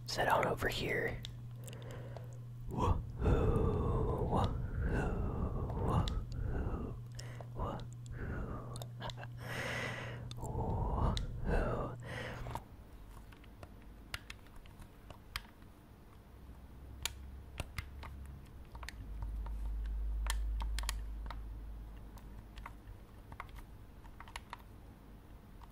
Let's on over here.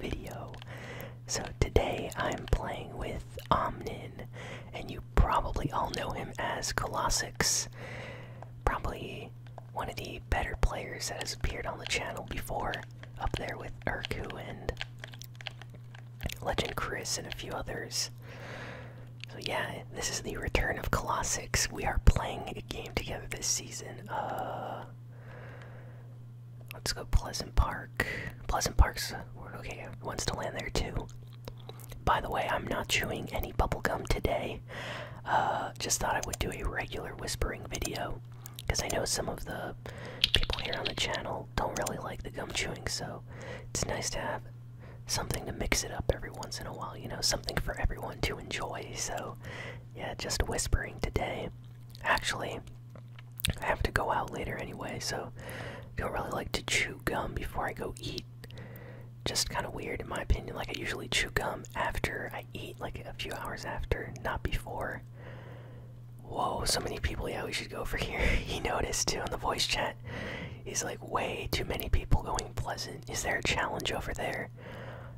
video. So today I'm playing with Omnin, and you probably all know him as Colossix. Probably one of the better players that has appeared on the channel before, up there with Urku and Legend Chris and a few others. So yeah, this is the return of Colossix. We are playing a game together this season. Uh, Let's go Pleasant Park. Pleasant Park's uh, okay. Wants to land there too. By the way, I'm not chewing any bubblegum today. Uh, just thought I would do a regular whispering video because I know some of the people here on the channel don't really like the gum chewing, so it's nice to have something to mix it up every once in a while. You know, something for everyone to enjoy. So, yeah, just whispering today. Actually, I have to go out later anyway, so I don't really like to chew gum before I go eat. Just kind of weird in my opinion. Like, I usually chew gum after I eat, like a few hours after, not before. Whoa, so many people. Yeah, we should go over here. he noticed too on the voice chat. He's like, way too many people going pleasant. Is there a challenge over there?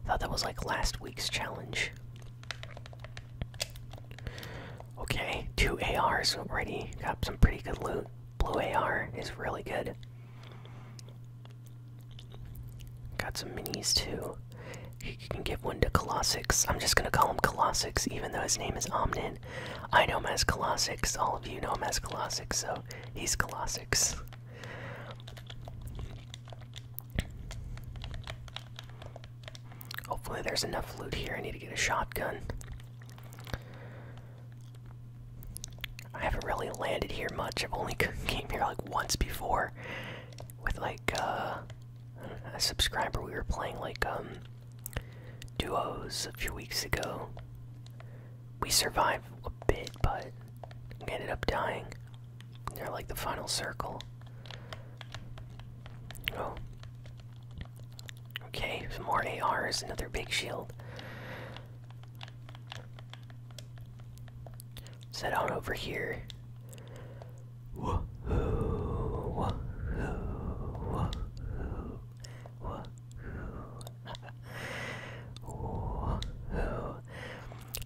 I thought that was like last week's challenge. Okay, two ARs already. Got some pretty good loot. Blue AR is really good. Got some minis too. You can give one to Colossix. I'm just gonna call him Colossix, even though his name is Omnin. I know him as Colossix. All of you know him as Colossix, so he's Colossix. Hopefully, there's enough loot here. I need to get a shotgun. I haven't really landed here much. I've only came here like once before with like uh, a subscriber. We were playing like um, duos a few weeks ago. We survived a bit, but ended up dying. They're like the final circle. Oh. Okay, some more ARs, another big shield. Set out over here. Woohoo! Woohoo! Woohoo! Woohoo!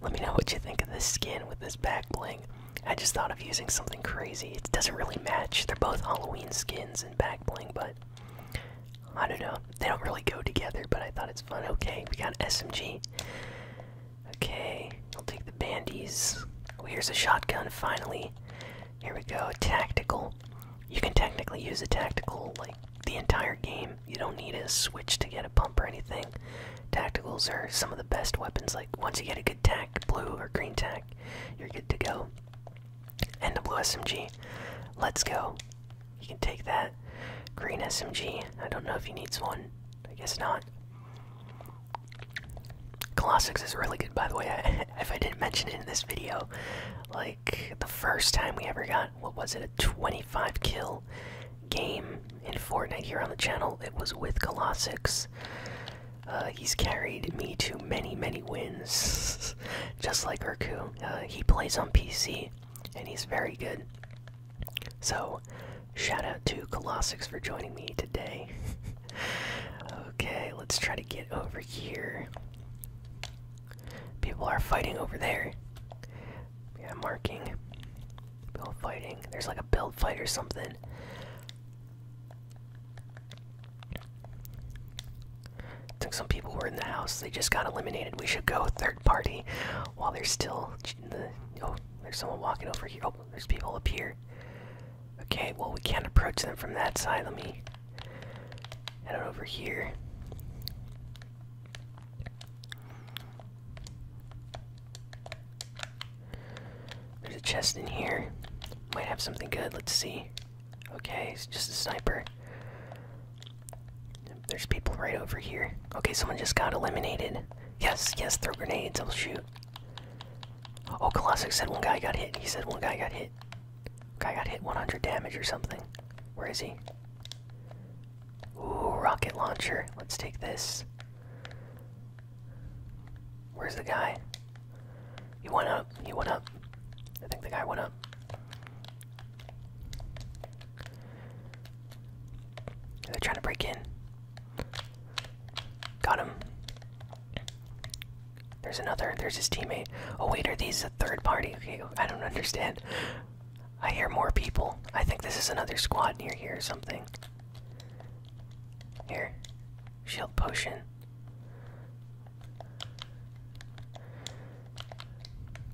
Let me know what you think of this skin with this back bling. I just thought of using something crazy. It doesn't really match. They're both Halloween skins and back bling, but I don't know. They don't really go together, but I thought it's fun. Okay, we got SMG. Okay, I'll take the bandies. Oh, here's a shotgun finally. Here we go. Tactical. You can technically use a tactical like the entire game. You don't need a switch to get a pump or anything. Tacticals are some of the best weapons. Like once you get a good tack, blue or green tack, you're good to go. And a blue SMG, let's go. You can take that green SMG. I don't know if he needs one. I guess not. Colossus is really good, by the way. if I didn't mention it in this video, like the first time we ever got, what was it, a 25 kill game in Fortnite here on the channel. It was with Colossus. Uh, he's carried me to many, many wins, just like Urku. Uh, he plays on PC, and he's very good. So, shout out to Colossus for joining me today. okay, let's try to get over here. People are fighting over there. Yeah, marking. Build fighting. There's like a build fight or something. I think some people were in the house. They just got eliminated. We should go third party while they're still Oh, there's someone walking over here. Oh, there's people up here. Okay, well, we can't approach them from that side. Let me head over here. There's a chest in here. Might have something good. Let's see. Okay, it's just a sniper. There's people right over here. Okay, someone just got eliminated. Yes, yes, throw grenades. I'll shoot. Oh, classic. said one guy got hit. He said one guy got hit. Guy got hit 100 damage or something. Where is he? Ooh, rocket launcher. Let's take this. Where's the guy? He went up. He went up. I think the guy went up. They're trying to break in. Got him. There's another. There's his teammate. Oh, wait, are these a third party? Okay, I don't understand. I hear more people. I think this is another squad near here or something. Here, shield potion.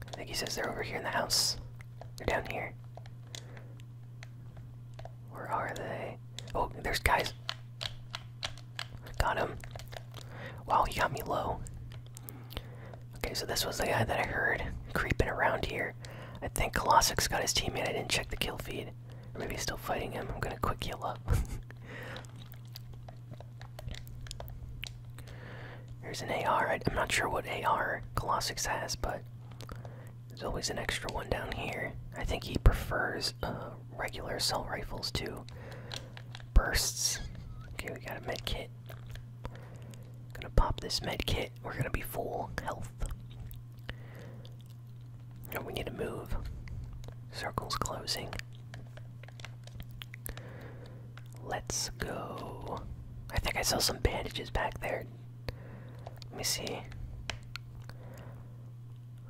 I think he says they're over here in the house. They're down here. Where are they? Oh, there's guys. Got him. Wow, he got me low. Okay, so this was the guy that I heard creeping around here. I think colossic got his teammate. I didn't check the kill feed. maybe he's still fighting him. I'm gonna quick heal up. Here's an AR. I, am not sure what AR Colossic's has, but there's always an extra one down here. I think he prefers uh, regular assault rifles to bursts. Okay, we got a med kit. Gonna pop this med kit we're gonna be full health. we need to move. Circle's closing. Let's go. I think I saw some bandages back there. Let me see.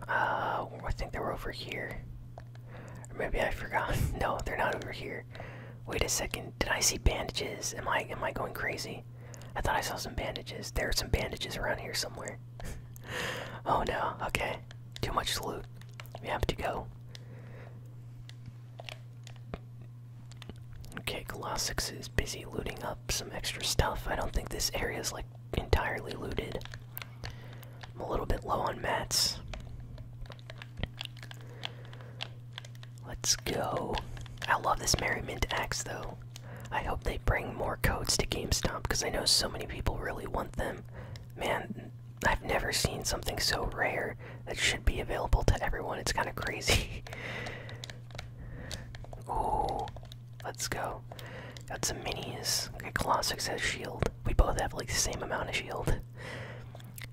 Uh, I think they were over here. maybe I forgot. no, they're not over here. Wait a second. Did I see bandages? Am I am I going crazy? I thought I saw some bandages. There are some bandages around here somewhere. oh no, okay. Too much loot. We have to go. Okay, Colossus is busy looting up some extra stuff. I don't think this area is like entirely looted. I'm a little bit low on mats. Let's go. I love this Merriment Axe though. I hope they bring more codes to GameStop because I know so many people really want them. Man, I've never seen something so rare that should be available to everyone. It's kind of crazy. Ooh, let's go. Got some minis. Okay, Colossus has shield. We both have like the same amount of shield.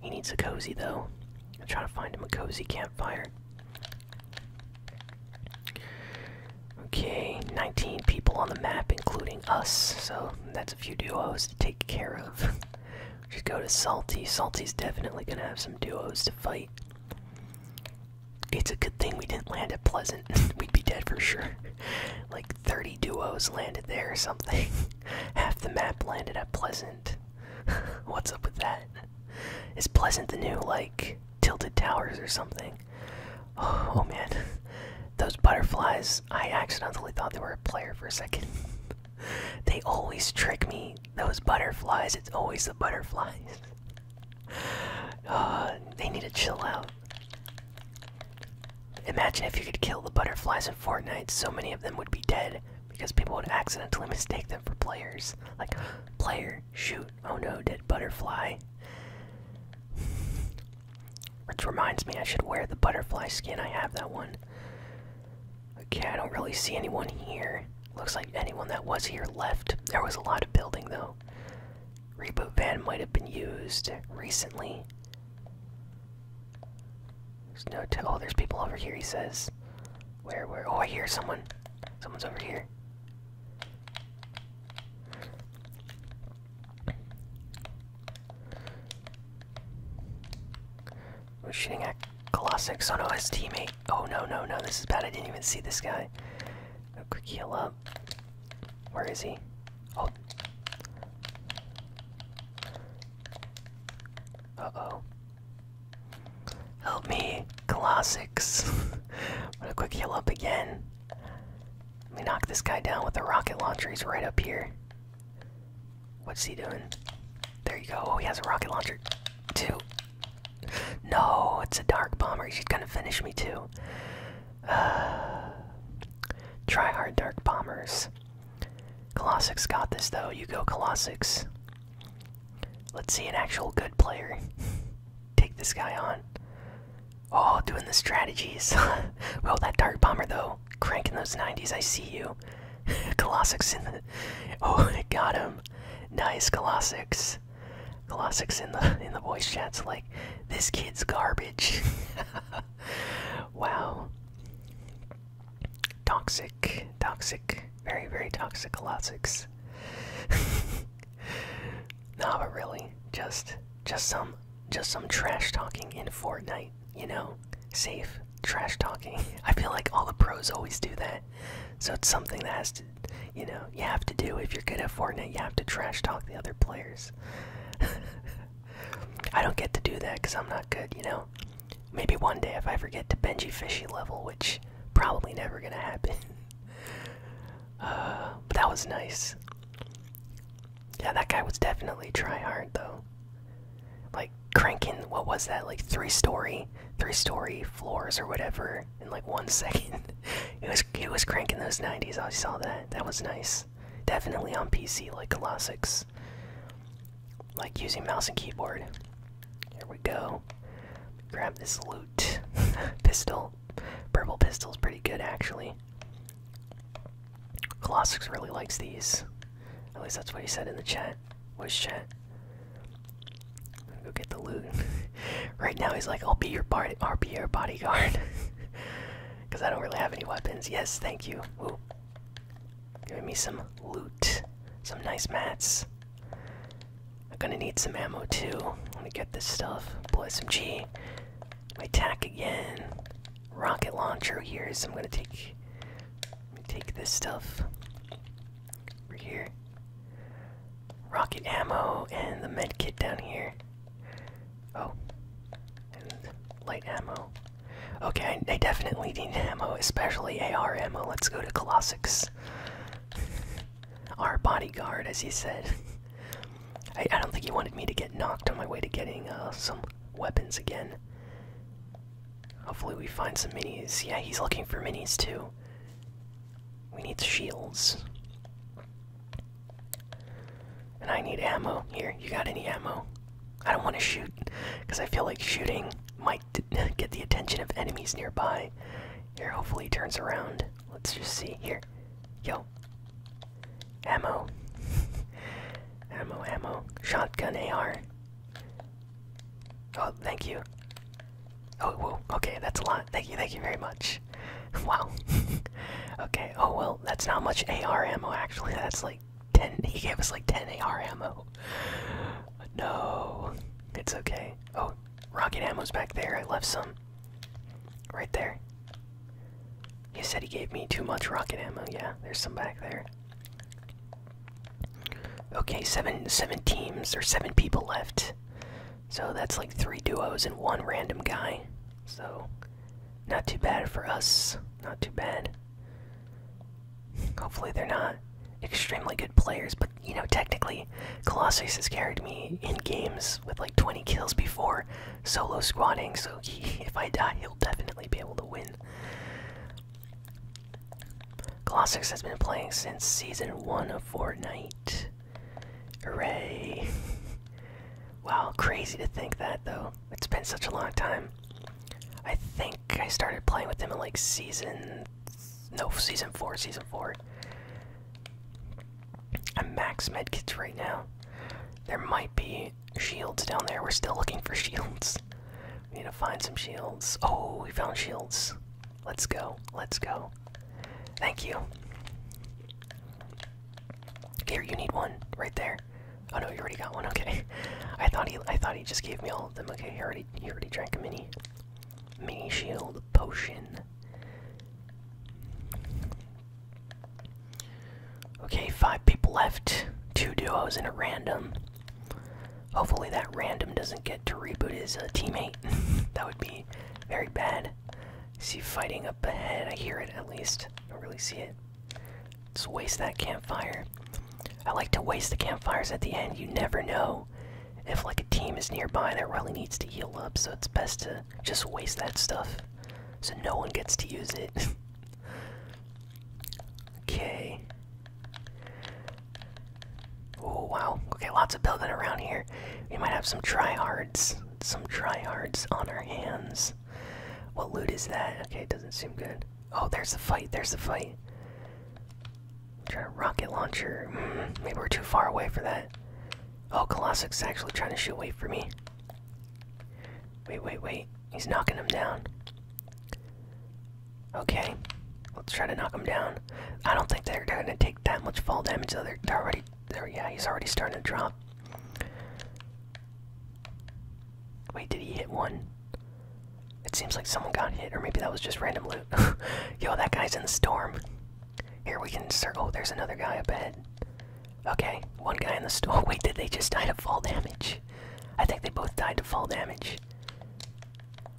He needs a cozy though. I'm trying to find him a cozy campfire. Okay, 19 people on the map, including us, so that's a few duos to take care of. Just go to Salty. Salty's definitely gonna have some duos to fight. It's a good thing we didn't land at Pleasant. We'd be dead for sure. like 30 duos landed there or something. Half the map landed at Pleasant. What's up with that? Is Pleasant the new, like, Tilted Towers or something? Oh, man. Those butterflies, I accidentally thought they were a player for a second. they always trick me. Those butterflies, it's always the butterflies. Uh, they need to chill out. Imagine if you could kill the butterflies in Fortnite, so many of them would be dead because people would accidentally mistake them for players. Like, player, shoot, oh no, dead butterfly. Which reminds me, I should wear the butterfly skin. I have that one. Okay, I don't really see anyone here. Looks like anyone that was here left. There was a lot of building, though. Reboot van might have been used recently. There's no t oh, there's people over here, he says. Where, where? Oh, I hear someone. Someone's over here. We're shooting at Colossus. Oh no, teammate. Oh no, no, no, this is bad. I didn't even see this guy. quick heal up. Where is he? Oh. Uh oh. Help me, Colossus. I'm gonna quick heal up again. Let me knock this guy down with the rocket launcher. He's right up here. What's he doing? There you go. Oh, he has a rocket launcher, too. No, it's a dark bomber. He's gonna finish me, too. try hard dark bombers. Colossus got this though. You go, Colossus. Let's see an actual good player take this guy on. Oh, doing the strategies. well, that Dark Bomber though, cranking those 90s. I see you. Colossus in the. Oh, I got him. Nice, Colossus. Colossus in the in the voice chat's like, this kid's garbage. wow. Toxic toxic, very, very toxic logics. nah, but really, just, just some, just some trash talking in Fortnite. You know, safe trash talking. I feel like all the pros always do that. So it's something that has to, you know, you have to do if you're good at Fortnite. You have to trash talk the other players. I don't get to do that because I'm not good, you know? Maybe one day if I ever get to Benji Fishy level, which probably never gonna happen. Uh, but that was nice. Yeah, that guy was definitely try hard though. Like cranking, what was that? Like three story, three story floors or whatever in like one second. it was it was cranking those nineties. I saw that. That was nice. Definitely on PC like classics like using mouse and keyboard. Here we go. Grab this loot. Pistol. Purple pistol's pretty good actually. Colossus really likes these. At least that's what he said in the chat. Was chat. Go get the loot. right now he's like, I'll be your body I'll be your bodyguard. Because I don't really have any weapons. Yes, thank you. Giving me some loot. Some nice mats. I'm gonna need some ammo too. Let me get this stuff. Plus some G. My tack again. Rocket launcher here. so I'm gonna take take this stuff. Over here. Rocket ammo and the med kit down here. Oh. And light ammo. Okay, I definitely need ammo, especially AR ammo. Let's go to Colossus. Our bodyguard, as he said. I, don't think he wanted me to get knocked on my way to getting uh, some weapons again. Hopefully, we find some minis. Yeah, he's looking for minis too. We need shields. And I need ammo. Here, you got any ammo? I don't want to shoot because I feel like shooting might get the attention of enemies nearby. Here, hopefully, he turns around. Let's just see. Here. Yo. Ammo. ammo, ammo. Shotgun AR. Oh, thank you. Oh, whoa. Okay, that's a lot. Thank you, thank you very much. Wow. okay, oh well, that's not much AR ammo actually. That's like ten. He gave us like ten AR ammo. No, it's okay. Oh, rocket ammo's back there. I left some. Right there. He said he gave me too much rocket ammo. Yeah, there's some back there. Okay, seven seven teams or seven people left. So that's like three duos and one random guy. So not too bad for us. Not too bad. Hopefully, they're not extremely good players, but you know, technically, Colossus has carried me in games with like 20 kills before solo squatting, so if I die, he'll definitely be able to win. Colossus has been playing since season 1 of Fortnite. Hooray! wow, crazy to think that though. It's been such a long time. I think I started playing with them in like season no season four, season four. I'm max medkits right now. There might be shields down there. We're still looking for shields. We need to find some shields. Oh, we found shields. Let's go. Let's go. Thank you. Here, you need one. Right there. Oh no, you already got one. Okay, I thought he, I thought he just gave me all of them. Okay, he already, he already drank a mini, mini shield potion. Okay, five people left. Two duos and a random. Hopefully that random doesn't get to reboot his uh, teammate. that would be very bad. see fighting up ahead. I hear it at least. don't really see it. Let's waste that campfire. I like to waste the campfires at the end. You never know if like a team is nearby that really needs to heal up, so it's best to just waste that stuff so no one gets to use it. okay. Oh wow. Okay, lots of building around here. We might have some tryhards. Some tryhards on our hands. What loot is that? Okay, it doesn't seem good. Oh, there's the fight. There's the fight. Try a rocket launcher. Mm, maybe we're too far away for that. Oh, Colossus actually trying to shoot away for me. Wait, wait, wait. He's knocking him down. Okay. Let's try to knock him down. I don't think they're, gonna take that much fall damage though. They're, already yeah, he's already starting to drop. Wait, did he hit one? It seems like someone got hit, or maybe that was just random loot. Yo, that guy's in the storm. Here we can circle. Oh, there's another guy up ahead. Okay, one guy in the storm. Oh, wait, did they just die to fall damage? I think they both died to fall damage.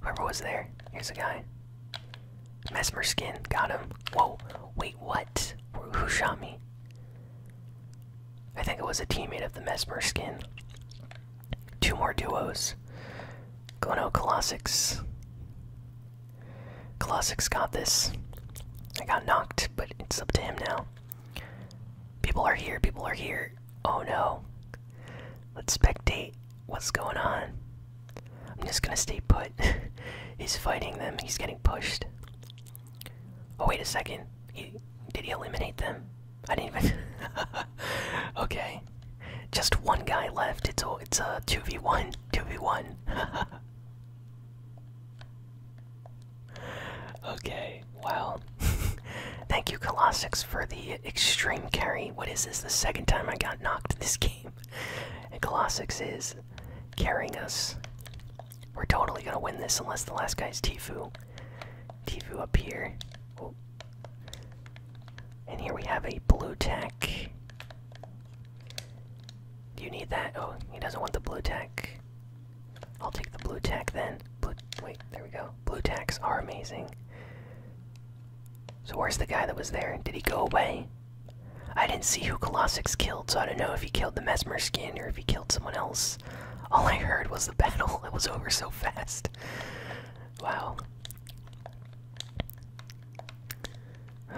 Whoever was there. Here's a guy. Mesmer skin. Got him. Whoa. Wait, what? Who shot me? I think it was a teammate of the Mesmer skin. Two more duos. Gono Colossus. Colossus got this. I got knocked, but it's up to him now. People are here, people are here. Oh no. Let's spectate what's going on. I'm just gonna stay put. He's fighting them, he's getting pushed. Oh wait a second. did he eliminate them? I didn't even. okay, just one guy left. It's a it's a two v one, two v one. Okay, wow. Thank you, Colossus, for the extreme carry. What is this? The second time I got knocked this game. And Colossus is carrying us we're totally gonna win this unless the last guy's Tifu. Tifu up here. Oh. And here we have a blue tech. Do you need that? Oh, he doesn't want the blue tech. I'll take the blue tech then. Blue, wait, there we go. Blue tacks are amazing. So where's the guy that was there? Did he go away? I didn't see who Colossus killed, so I don't know if he killed the Mesmer skin or if he killed someone else. All I heard was the battle. It was over so fast. Wow.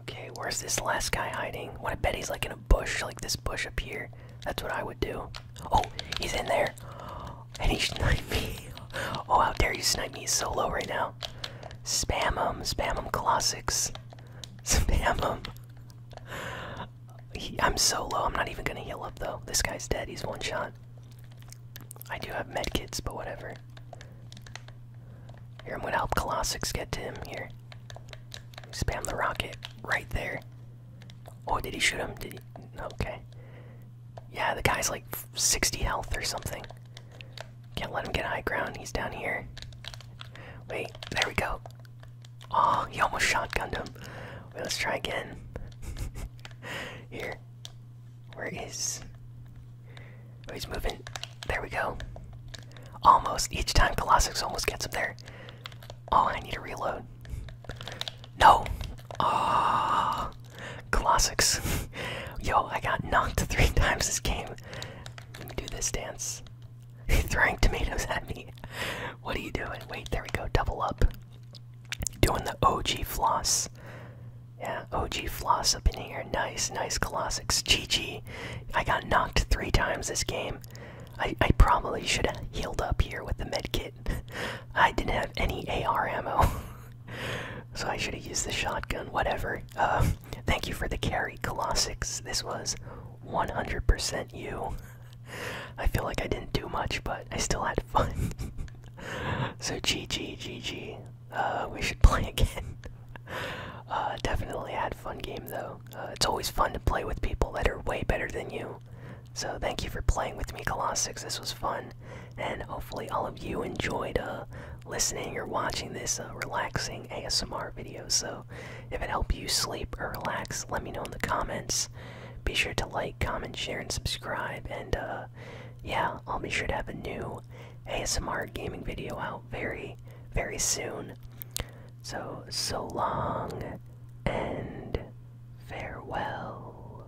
okay, where's this last guy hiding? What I bet he's like in a bush, like this bush up here. That's what I would do. Oh, he's in there. And he's sniping me. Oh, how dare you snipe me He's so low right now. Spam them, spam them, classics. Spam them. I'm so low. I'm not even gonna heal up though. This guy's dead. He's one shot. I do have medkits, but whatever. Here, I'm gonna help Colossus get to him. Here, spam the rocket right there. Oh, did he shoot him? Did he? Okay. Yeah, the guy's like 60 health or something. Can't let him get high ground. He's down here. Wait, there we go. Oh, he almost shotgunned him. let's try again. here. Where is. Oh, he's moving. There we go. Almost. Each time Colossus almost gets him there. Oh, I need to reload. No! Oh, Classics. Yo, I got knocked three times this game. Let me do this dance. He's throwing tomatoes at me. What are you doing? Wait, there we go. Double up. Doing the OG floss. Yeah, OG floss up in here. Nice, nice classics. GG. I got knocked three times this game. I, I probably should have healed up here with the medkit. I didn't have any AR ammo so I should have used the shotgun. Whatever. Uh, thank you for the carry, Colossix. This was 100% you. I feel like I didn't do much, but I still had fun. so GG, GG. Uh, we should play again. Uh, definitely had fun game though. Uh, it's always fun to play with people that are way better than you. So thank you for playing with me, Colossix. This was fun. And hopefully, all of you enjoyed uh, listening or watching this uh, relaxing ASMR video. So, if it helped you sleep or relax, let me know in the comments. Be sure to like, comment, share, and subscribe. And uh, yeah, I'll be sure to have a new ASMR gaming video out very, very soon. So, so long and farewell.